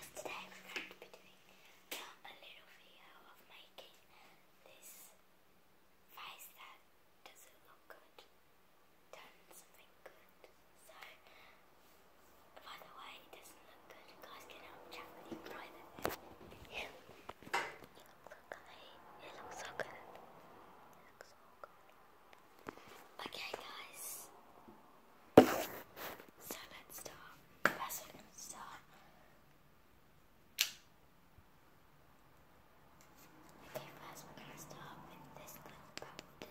today we're going to be doing a little video of making this face that doesn't look good done something good. So, by the way, it doesn't look good. guys can help chat okay. It looks so good. It looks so good. Okay, guys. So let's start passive insta. Okay, first we're gonna start with this little powder.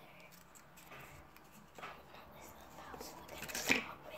But this little powder, we're gonna start with this.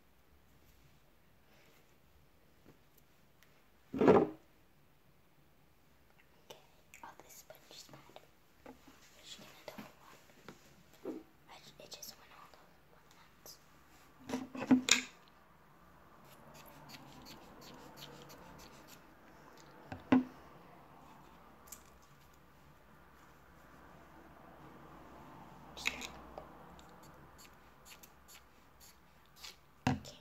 Okay. Oh, this sponge is bad. She can double one. It just went all over one hands. Okay. Okay,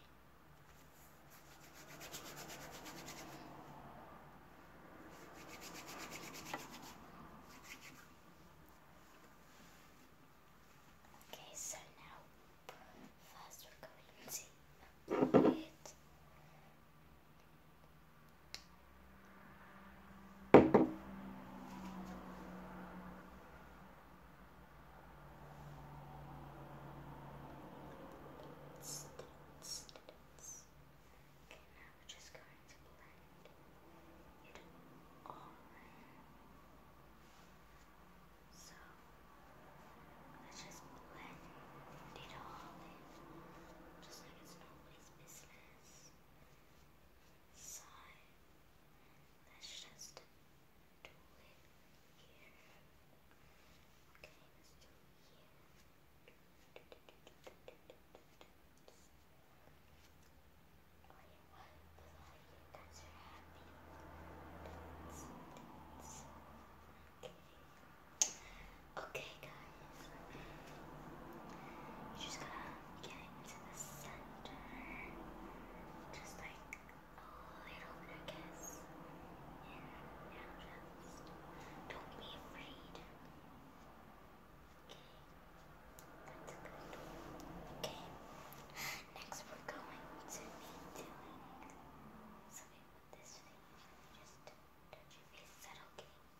so now first we're going to it now we're just going to blend it all in. So let's just blend it all in, just like it's nobody's business. Just blend it all in sigh. Let's just do it here. Okay, let's do it here. Oh yeah, but you are happy. That's, Okay guys. You just gotta getting to the center, just like a little bit of kiss, and now just don't be afraid. Okay, that's good. Okay, next we're going to be doing something with this thing. Just touch your face. okay? Okay, touch your face.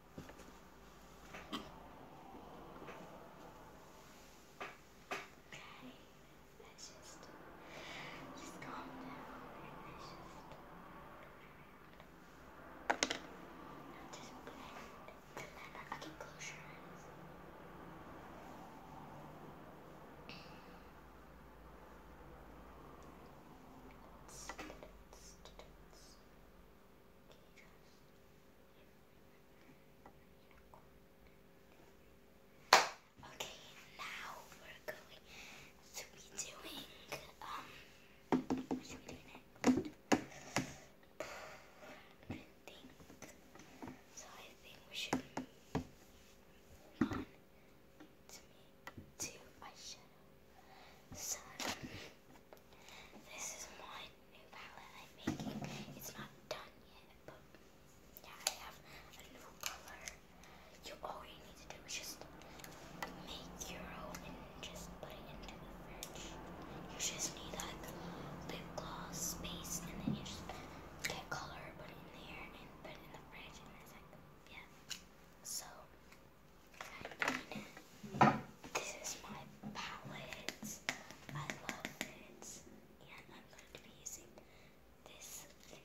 Okay, let's just just calm down let's just now just blend the I can close your eyes. Let's, let's, let's, let you Okay, now we're going to be doing, um, what should we do next? I think, so I think we should move on eyeshadow. So, this is my new palette I'm making. It's not done yet, but yeah, I have a new color. You all you need to do is just make your own and just put it into the fridge. You just need like lip gloss base, and then you just get color, put it in there, and put it in the fridge, and it's like yeah. So. this is my palette because I love fans and I'm going to be using this I'm going to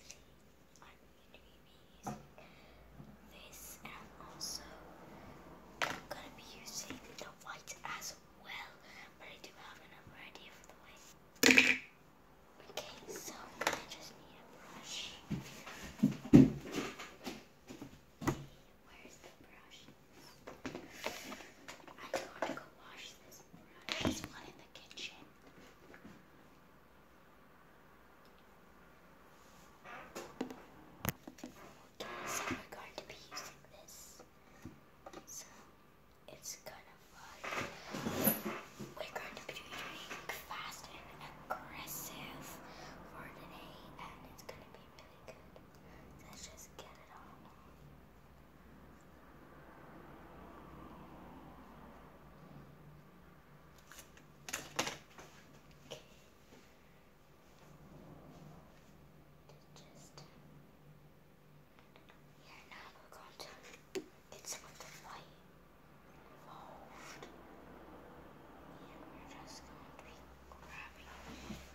be using this and I'm going to be using the white as well, but I do have another idea for the white. Okay, so I just need a brush where's the brush? I gotta go wash this brush. There's one in the kitchen. So we're going to be using this. So it's kind of fun. We're going to be doing fast and aggressive for today, and it's going to be. Let's just get it all on. Okay. Just yeah, now we're going to get some of the white involved. Oh, and we're just going to be grabbing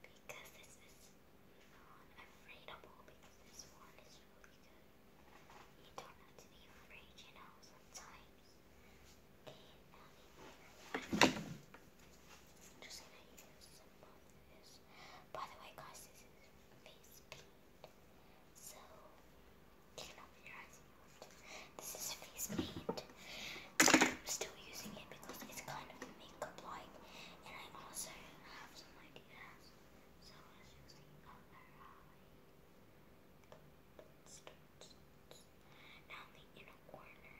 Because this is non-afraid because this one is really good. You don't have to be afraid, you know, sometimes. Okay, now I'm just gonna use some of this. By the way guys, this is face paint. So you can open your eyes if you want. This is face paint. I'm still using it because it's kind of makeup like, and I also have some ideas. So let's just see how Now the inner corner,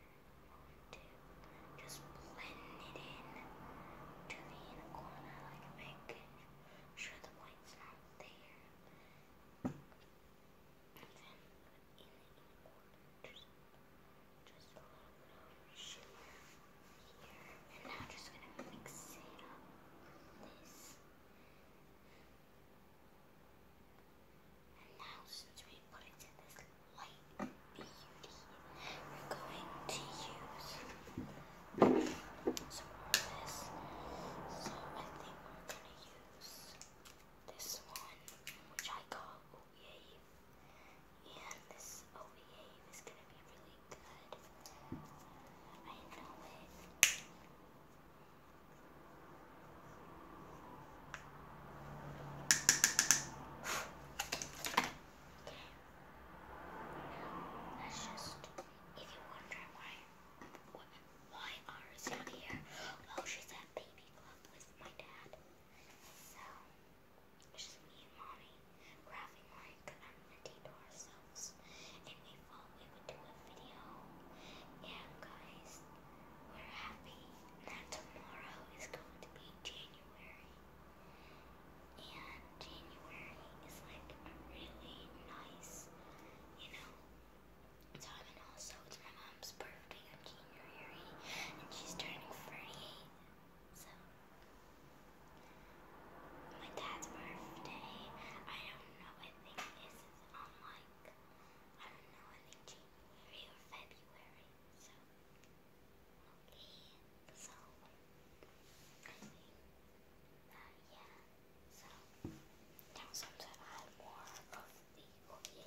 just blend it in to the inner corner, like make sure the white's not there and then in the just, just a little bit here. And now just gonna mix up this. And now since we put it in this light beauty, we're going to use some more this. So I think we're gonna use this one, which I call. OEA, and this OEA is going to be really good. I know it. Okay. just, if you wonder why, why, why Ara's not here, well, oh, she's at baby club with my dad. So, it's just me and mommy grabbing like I'm to ourselves, and we thought we would do a video. Yeah, guys, we're happy that tomorrow is going to be January, and January is like really nice, you know, time, and also it's my mom's birthday birthday on January, and she's turning 48. So, my dad's birthday, I don't know, I think this is on like, I don't know, January or February. So,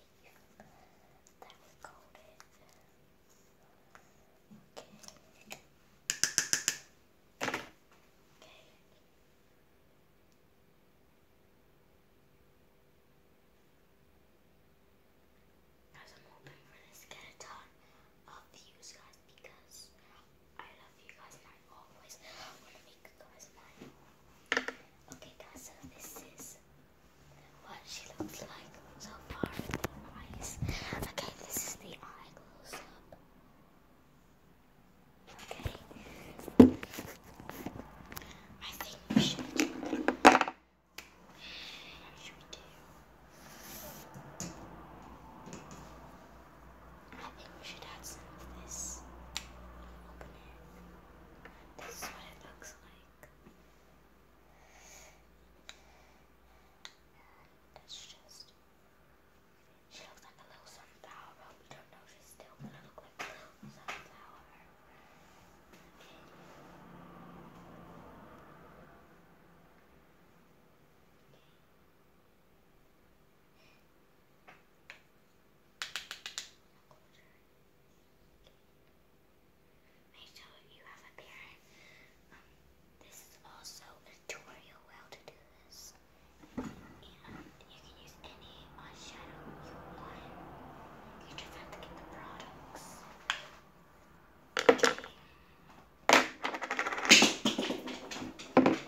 leaf Okay. Okay. Guys, I'm hoping for this get a ton of views, guys, because I love you guys and I always want to make you guys mine. Okay, guys, so this is what she looks like so far with her eyes. Okay, this is the eye close up. Okay. I think we should, I think we should add some of this. This is what it looks like. That's just, she looks like a little sunflower, we don't know she's still a little sunflower. Okay closure. Make sure you have a parent. Um, this is also a tutorial well to do this. And you can use any eyeshadow you want. You just have products.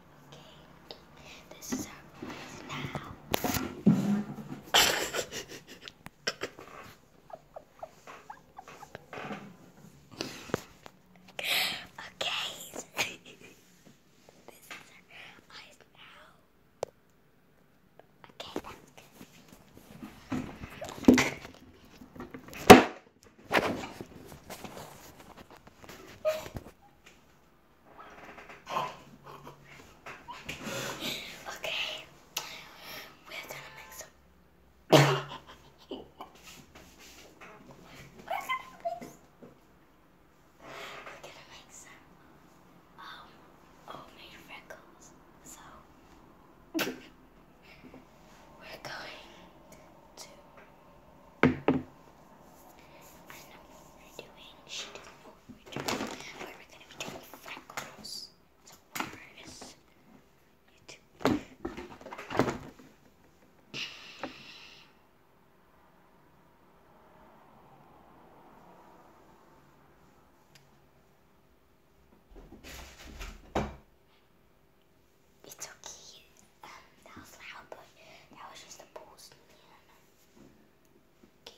Okay, this is our voice now. okay, this is our eyes now. Okay, that's good. Okay, we're gonna make some. we're gonna make. We're gonna make some. Um, homemade freckles. So we're going to. I know what we're doing. She doesn't know what we're doing. we're going to be doing freckles. It's okay that was loud, but that was just the pulse. Okay.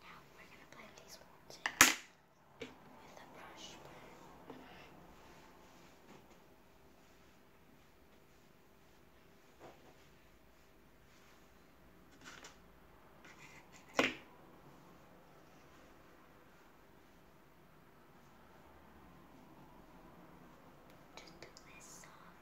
Now we're going to blend these ones in with a brush. Just do this soft.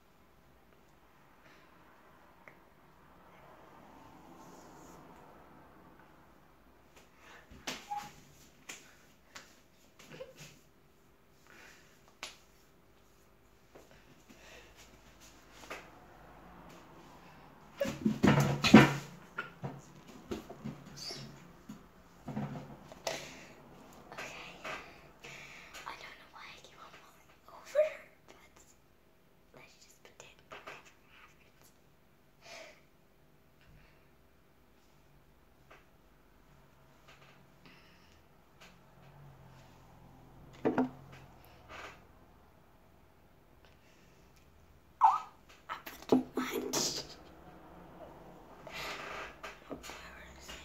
Okay. I don't know why I keep on falling over let's just pretend Oh, I'm too much. Embarrassing.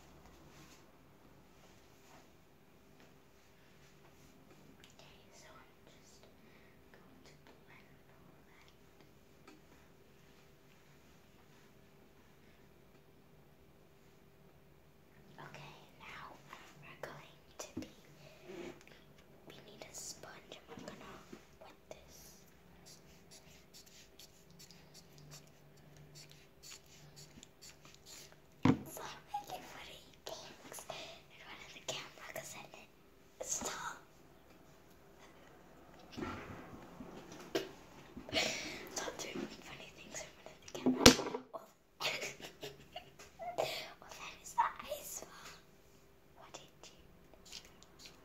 Okay, so I'm just going to blend all that. Okay, now we're going to be, we need a sponge and we're gonna put this so I did what he thinks in front of the camera because I didn't stop. Stop doing funny things in front of the camera. Well, well that is the ice. What did you?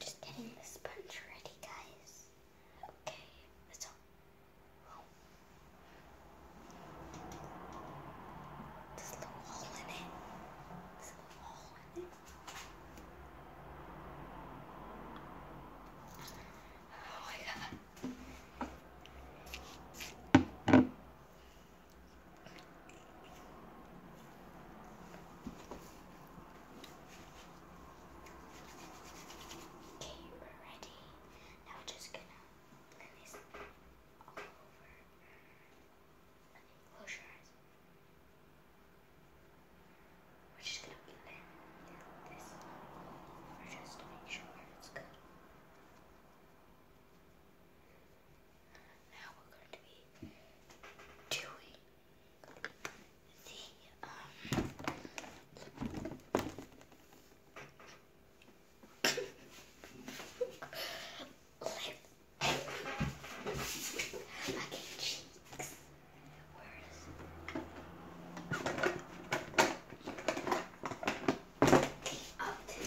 Just getting the sponge ready, guys. Okay, that's all. This little hole in it. This little hole in it. Oh my god. Okay, we're ready. Now we're just gonna blend this all over. close your eyes. We're just gonna blend this over just to sure it's good. Now we're going to be doing the um lip okay, cheeks. Where is up to the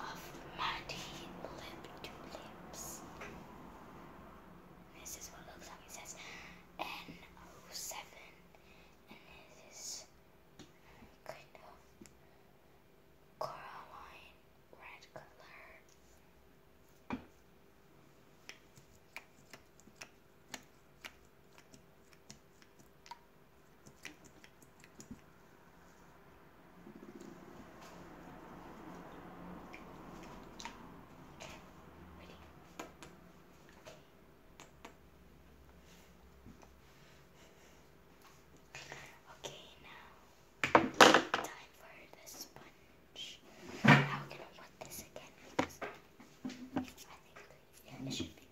of muddy lip to lips. This is what it looks like. It says N07. And this is kind of Coraline red color. Okay, now time for the sponge. Now we're going this again I think it should be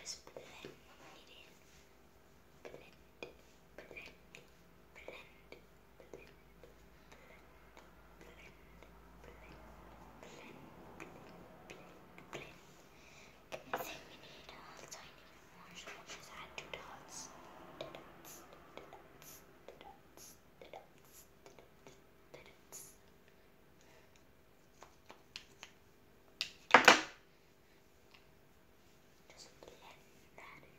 just blend it in. Blend, blend, blend, I think we need dolls. I need more swatches. Add two dolls. The dots, the dots, the dots, the dots, the dots, the dots. Just blend that in.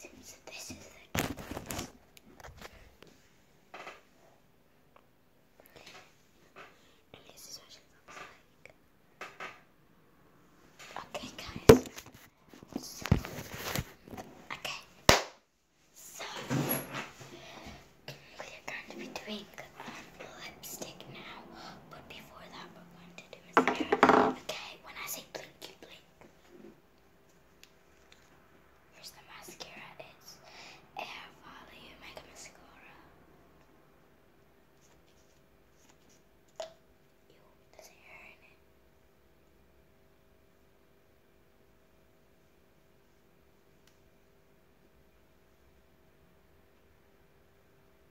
this is what it looks like. Okay, guys. okay. So, we're going to be doing lipstick now, but before that, we're going to do mascara. Okay, when I say blink, you blink. Here's the mascara. It's Air Volume Mega Mascara. Ew, there's hair in it.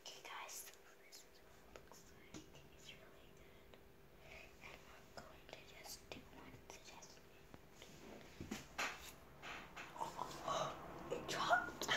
Okay guys, so this is looks like. It's really good. And I'm going to just do one suggestion. it dropped.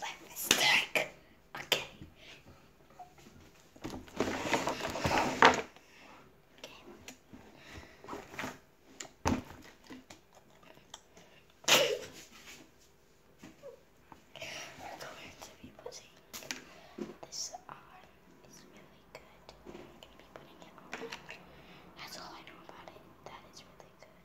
Let Okay. Okay. We're going to be putting this on. It's really good. I'm going to be putting it on. That's all I know about it. That is really good.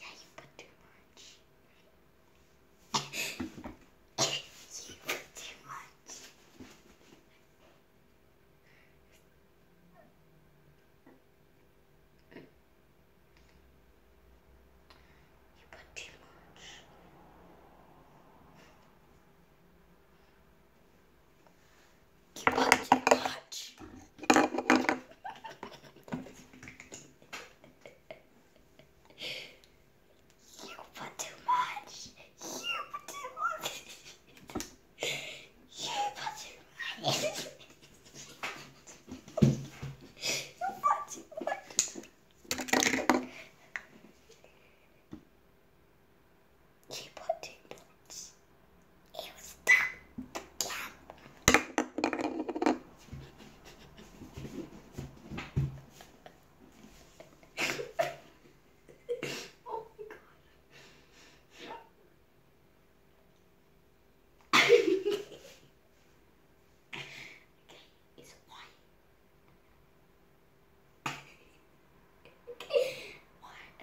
Yeah, you put too much. you put too much. You put too much. You put too much. You put too much. You put too much. You put too much. you put too much. You put too much. It was oh my god. okay, it's white. okay, white.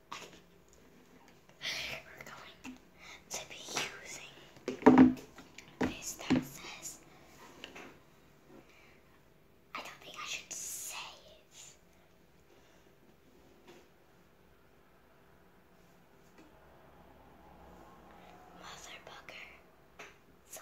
We're going to be using this I don't think I should say it. Motherfucker. So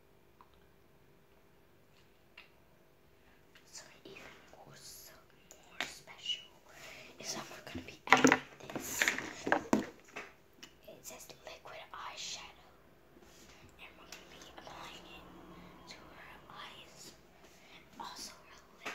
So even more, so more special is that we're gonna be adding this. It says liquid eyeshadow, and we're gonna be applying it to her eyes, and also her lip.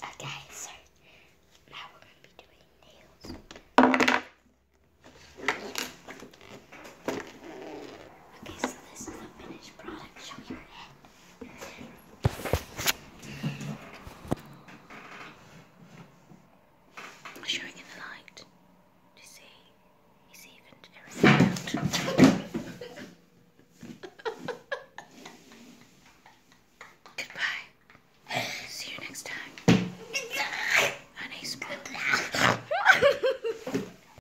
Okay, so now we're going to be doing nails. Okay, so this in the light to see. He's evened everything out. Goodbye. See you next time. Honey, smile.